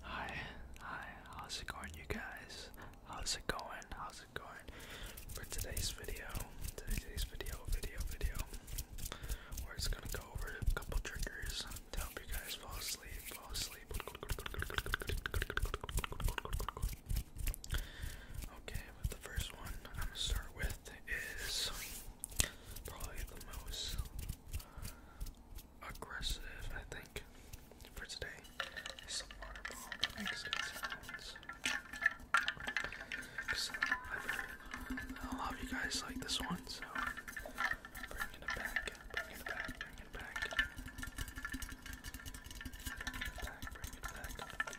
Hi, hi, how's it going you guys? How's it going? How's it going? For today's video, today's video, video, video, we're just gonna go over a couple triggers to help you guys fall asleep, fall asleep. Okay, but the first one I'm gonna start with is probably the most aggressive, I think, for today. I've you guys like this one, so bring it back, bring it back, bring it back. Bring it back, bring it back.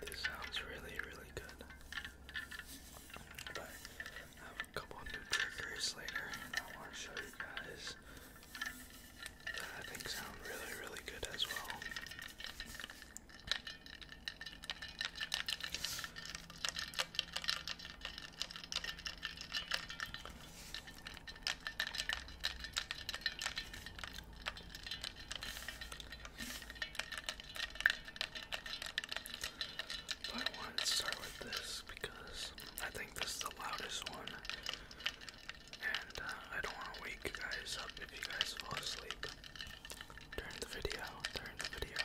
This sounds really, really good. But I have a couple new triggers later, and I want to show you guys that I think sound really, really good as well. I wanted to start with this because I think this is the loudest one. And uh, I don't want to wake you guys up if you guys fall asleep during the video. During the video.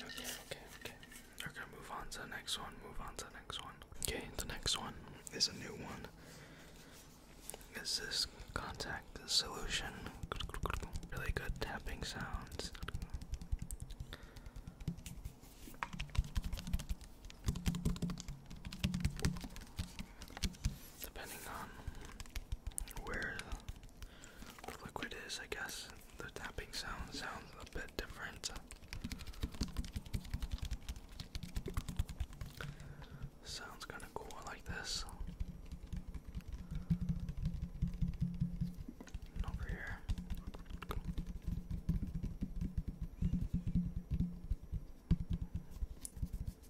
Okay, okay, okay. Okay, move on to the next one. Move on to the next one. Okay, the next one is a new one. Is this contact solution? Really good tapping sounds. Depending on where the liquid is, I guess. The tapping sound sounds a bit different. Sounds kind of cool like this. over here.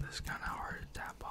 This is kind of hard to tap on.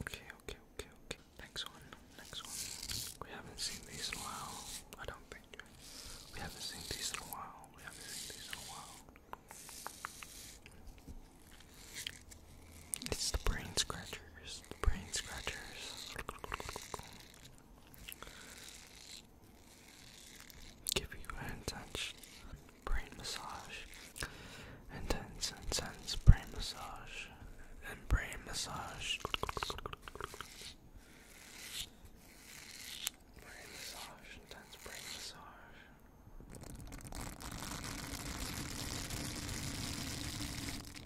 Okay, okay, okay, okay. Next one, next one. We haven't seen these in a while. I don't think we haven't seen these in a while. We haven't seen these in a while. It's the brain scratchers. The brain scratchers. Give you a hand touch. Brain massage. Intense, intense brain massage. And brain massage. Brain massage. Intense brain massage.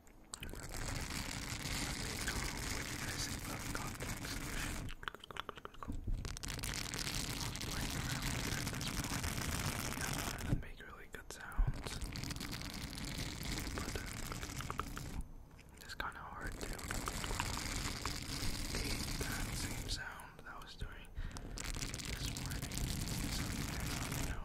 Let me know what you guys think about contact solution. I'm playing around with it at this point. Yeah, and make really good sounds. But uh, it's kind of hard to keep that same sound that I was doing this morning. So, you know.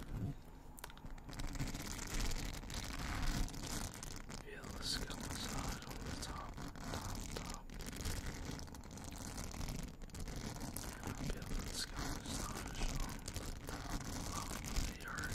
Feel the skin on the top, top, top. Feel on the top of your head.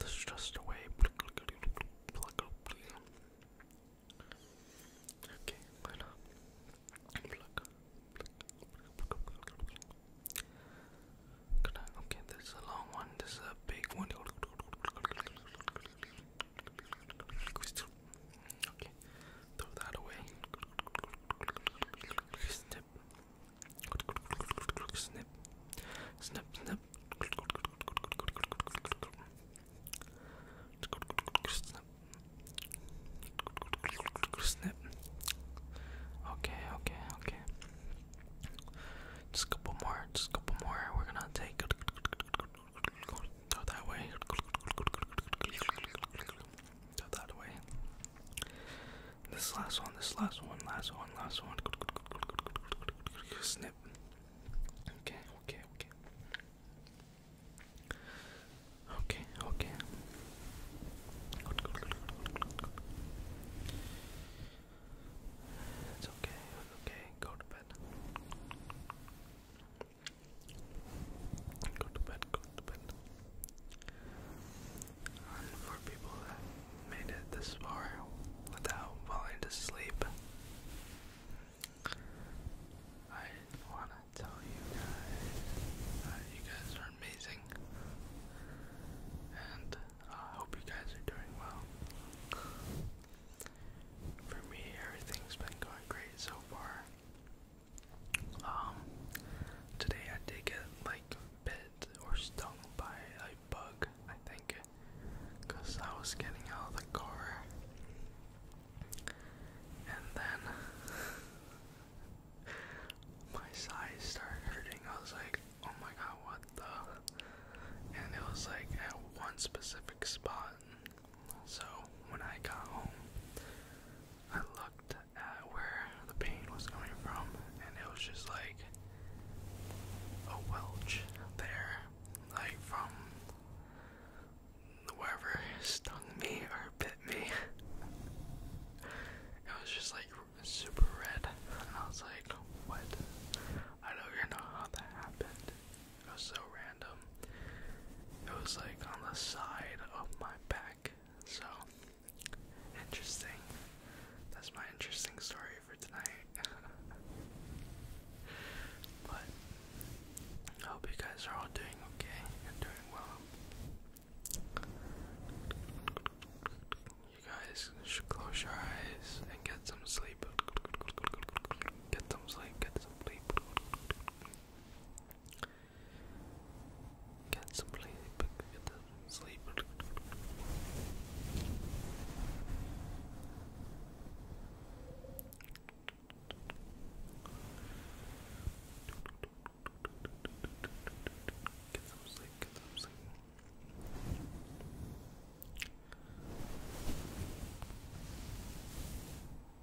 This is just a way. Pluck, Okay, why not? okay, this is a long one. This is a big one. Okay, throw that away. Snip, snip, snip. Snip. Okay, okay, okay. Just a couple more, just a couple more. We're gonna take. Go that way. Go that way. This last one, this last one, last one, last one. Snip. Okay, okay, okay. Okay, okay. It's okay, it's okay. Go to bed. Go to bed that but for people that made it this far without falling to sleep, I want to tell you guys that you guys are amazing, and uh, I hope you guys are doing well. For me, everything's been going great so far. Um, today I did get like bit or stung by a bug, I think, because I was getting out of the car, and then my sides started hurting. I was like, "Oh my god, what the?" And it was like at one specific spot. So when I got home, I looked at where the pain was coming from, and it was just like a welch there, like from whoever stung me or bit me. it was just like super red, and I was like, "What? I don't even know how that happened. It was so random. It was like on the side of my back." So, interesting. That's my interesting story for tonight. but, I hope you guys are all doing okay and doing well. You guys should close your eyes and get some sleep. Get some sleep, get some sleep. Get some sleep. Get the sleep. Get some sleep. Get some sleep.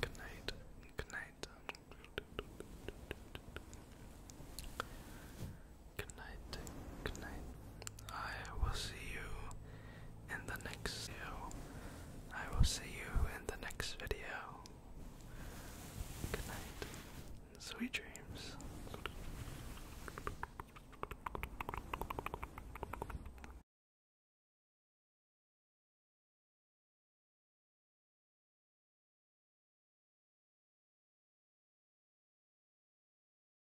Good night. Good night. Good night. Good night. I will see you in the next video. I will see you in the next video. Good night. Sweet dreams.